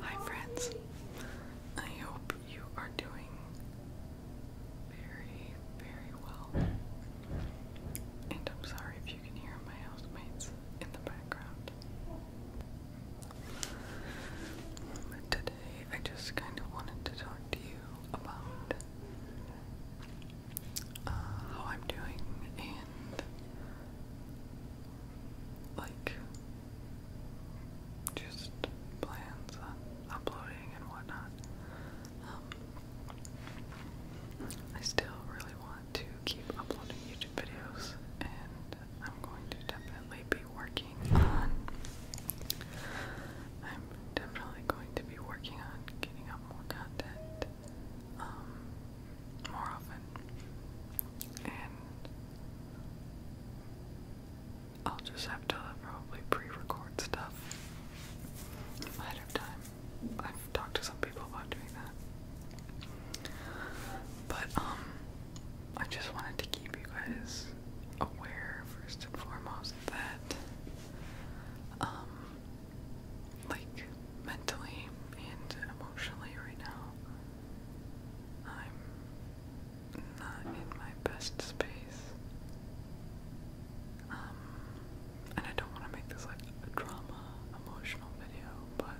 Hi, friends. I hope you are doing very, very well. And I'm sorry if you can hear my housemates in the background. Today, I just kind of wanted to talk to you about uh, how I'm doing and like just plans on uploading and whatnot. Um, I still really want to keep uploading YouTube videos, and I'm going to definitely be working on. I'm definitely going to be working on getting out more content um, more often, and I'll just have to probably pre-record stuff ahead of time. I've talked to some people about doing that, but um, I just wanted to keep you guys aware first and foremost that um, like mentally and emotionally right now, I'm not in my best space. Um, and I don't want to make this like a drama, emotional video, but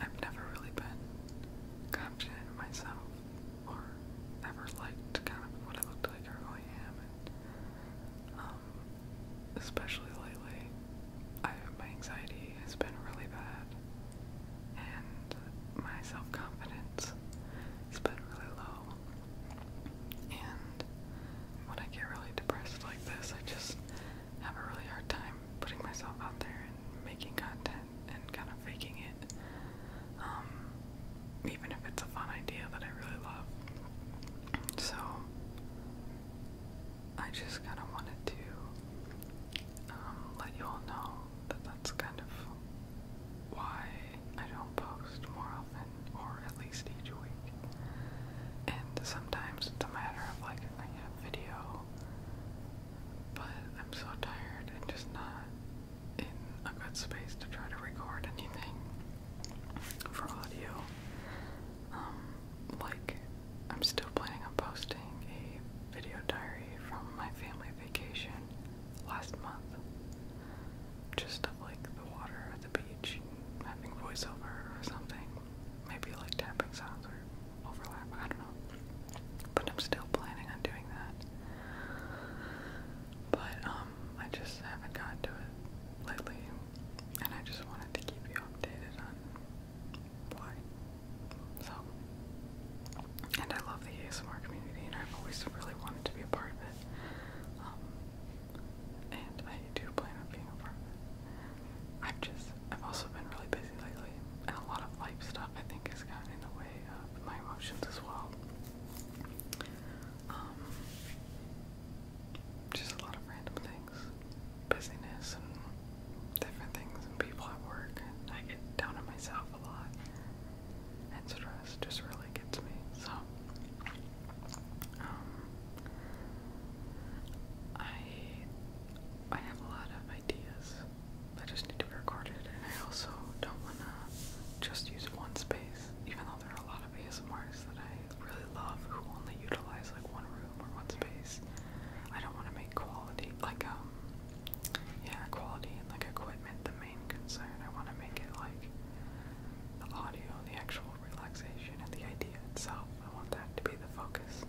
I've never really been confident in myself or ever liked kind of what I looked like or who I am. Um, especially lately, my anxiety has been really bad, and my self confidence has been really low. And when I get really depressed like this, I just have a really hard time putting myself out there and making content and kind of faking it. Um, even if it's a fun idea that I really love. So I just kind of wanted to um, let you all know that that's kind of why I don't post more often, or at least each week. And sometimes it's a matter of like, I have video, but I'm so tired and just not in a good space to try to record anything for audio. Um, like I'm still planning on posting a video diary from my family vacation last month. Just of like the water at the beach, having voiceover or something. Maybe like tapping sounds or overlap, I don't know. But I'm still planning on doing that. But um I just haven't gotten to it lately and I just wanted to keep you updated on why. So, and I love the ASMR community, and I've always really wanted to be a part of it. Um, and I do plan on being a part of it. I've just, I've also been really busy lately, and a lot of life stuff I think has gotten in the way of my emotions as well. Um, just a lot of random things busyness and different things and people at work, and I get down on myself a lot. And stress just really gets me. So, um, I I have a lot of ideas. I just need to record it, and I also don't want to just use one space, even though there are a lot of ASMRs that I really love who only utilize like one room room or one space. I don't want to make quality like um yeah quality and like equipment the main concern. I want to make it like the audio, the actual relaxation, and the idea itself. I want that to be the focus.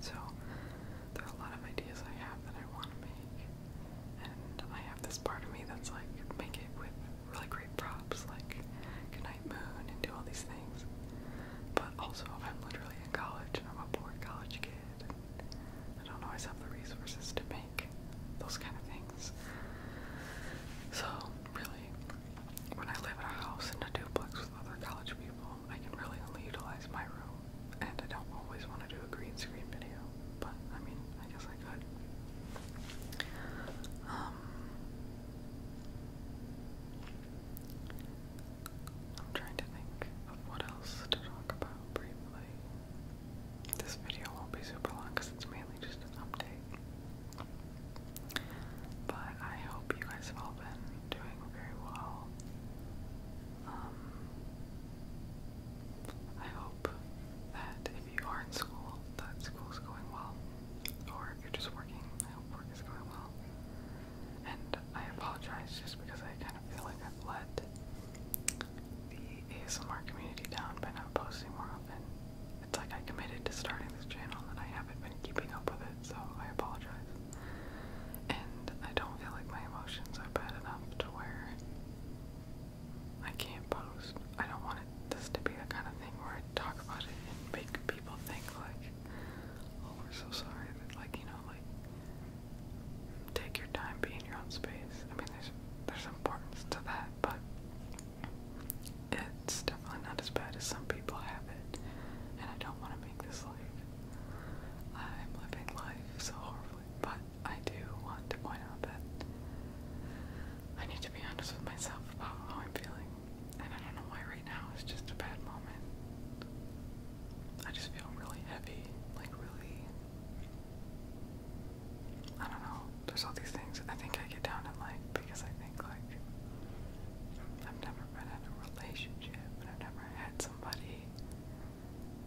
So there are a lot of ideas I have that I want to make, and I have this part of me that's like make it with really great props, like Goodnight Moon, and do all these things. But also, I'm literally in college and I'm a poor college kid, and I don't always have the resources to make those kind of things. So, really, when I live in a house in a duplex with other college people, I can really only utilize my room, and I don't always want to do a green screen video, but I mean, I guess I could. Um, I'm trying to think of what else to talk about briefly. This video won't be super long because it's mainly just an update. But I hope you guys have all been doing very well. Um, I hope that if you are in school, that school's going well. Or if you're just working, I hope work is going well. And I apologize just because I kind of feel like I've let the ASMR community down by not posting more often. It's like I committed to starting this channel and I haven't been keeping up with it, so I apologize. And I don't feel like my emotions are bad enough to where I can't post. I don't want this to be the kind of thing where I talk about it and make people think like oh, we're so sorry. like, you know, like, take your time, be in your own space. I mean, there's there's importance to that, but it's definitely not as bad as some people have it. And I don't want to make this life. I'm living life so horribly, but I do want to point out that I need to be honest with myself about how I'm feeling. And I don't know why right now it's just a bad moment. I just feel really heavy, like really. I don't know. There's all these things I think I get down in life because I think like I've never been in a relationship and I've never had somebody,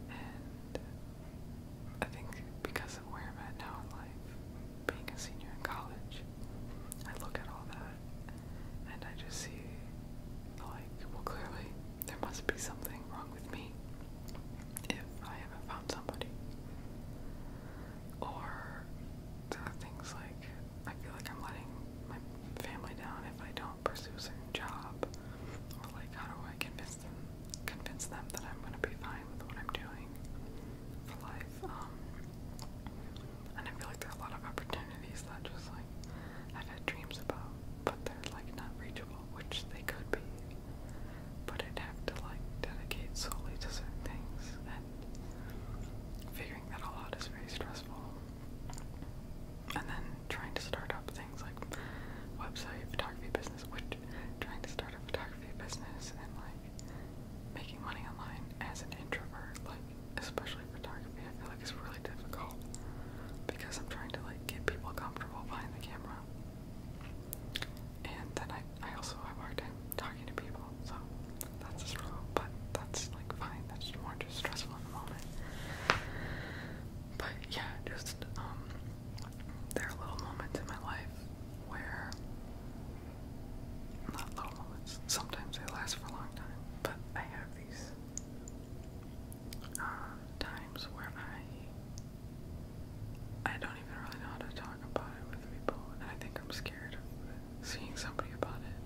and I think because of where I'm at now in life, being a senior in college, I look at all that and I just see, like, well, clearly there must be something wrong with me if I haven't found somebody. Or things like I feel like I'm letting my family down if I don't pursue a certain job, or like, how do I convince them, convince them that I'm gonna be fine with what I'm doing for life? Um, and I feel like there are a lot of opportunities that just like I've had dreams about, but they're like not reachable, which they could be. But I'd have to like dedicate solely to certain things, and figuring that all out is very stressful. And then trying to start up things like website photography business, which trying to start a photography business and like making money online as an introvert, like especially photography, I feel like it's really difficult because I'm trying to like get people comfortable behind the camera. And then I, I also have a hard time talking to people, so that's a but that's like fine, that's more just stressful in the moment. But yeah, just um there are little moments in my life where not little moments. Sometimes they last for a long time, but I have uh, times where I I don't even really know how to talk about it with people, and I think I'm scared seeing somebody about it.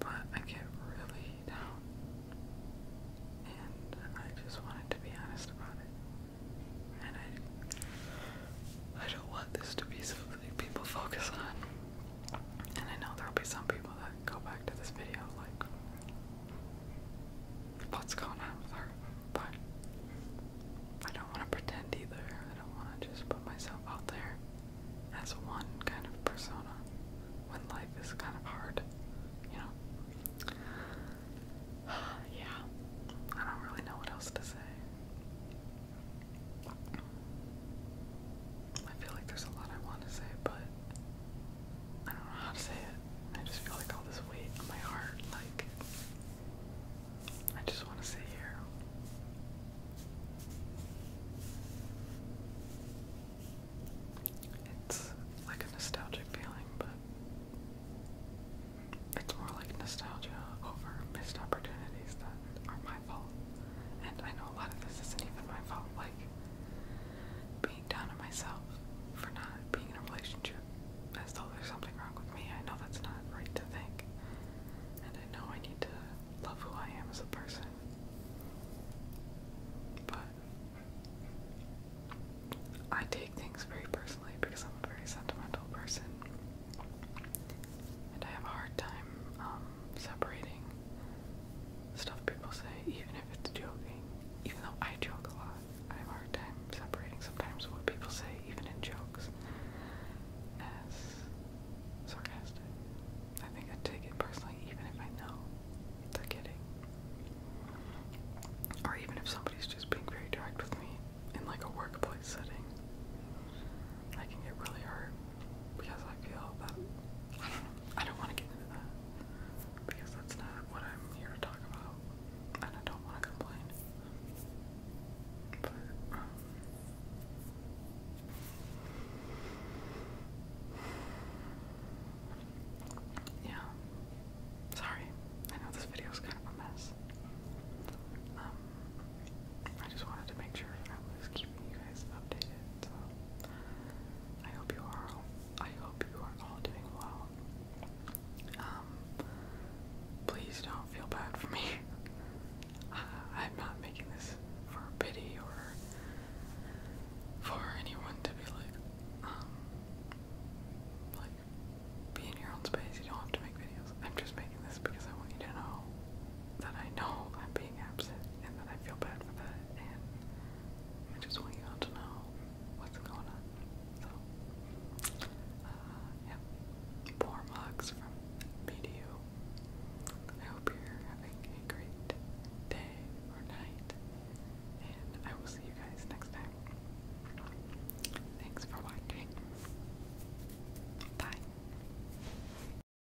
But I get really down, and I just wanted to be honest about it, and I I don't want this to be so people focus on. And I know there'll be some people that go back to this video like, what's going on with her? But I don't want to pretend either. I don't want to just put myself out there as one kind of persona when life is kind of hard, you know? yeah, I don't really know what else to say. I feel like there's a lot I want to say, but I don't know how to say it. I just feel like all this weight on my heart, like, I just want to sit here. It's like a nostalgic feeling, but it's more like nostalgia over missed opportunities that are my my fault. And I know a lot of this isn't even my fault, like being down on myself for not being in a relationship as though there's something wrong with me. I know that's not right to think. And I know I need to love who I am as a person. But I take things very personally because I'm a very sentimental person. And I have a hard time um, separating stuff people say, even if it's joking. Even though I joke a lot, I have a hard time separating sometimes what people say, even in jokes, as sarcastic. I think I take it personally, even if I know they're kidding. Or even if somebody's just being very direct with me in like a workplace setting. I can get really hurt because I feel that I don't know, I don't want to get into that because that's not what I'm here to talk about, and I don't want to complain. But um, yeah, sorry. I know this video is kind of a mess. Um, I just wanted to make sure I was keeping you guys updated so I hope you are all, I hope you are all doing well. Um please don't feel bad for me. Uh, I'm not making this for pity or for anyone to be like um like be in your own space. You don't have to make videos. I'm just making this because I want you to know that I know I'm being being absent, and then I you uh, I hope you're having a great day or night, and I will see you guys next time. Thanks for watching. Bye.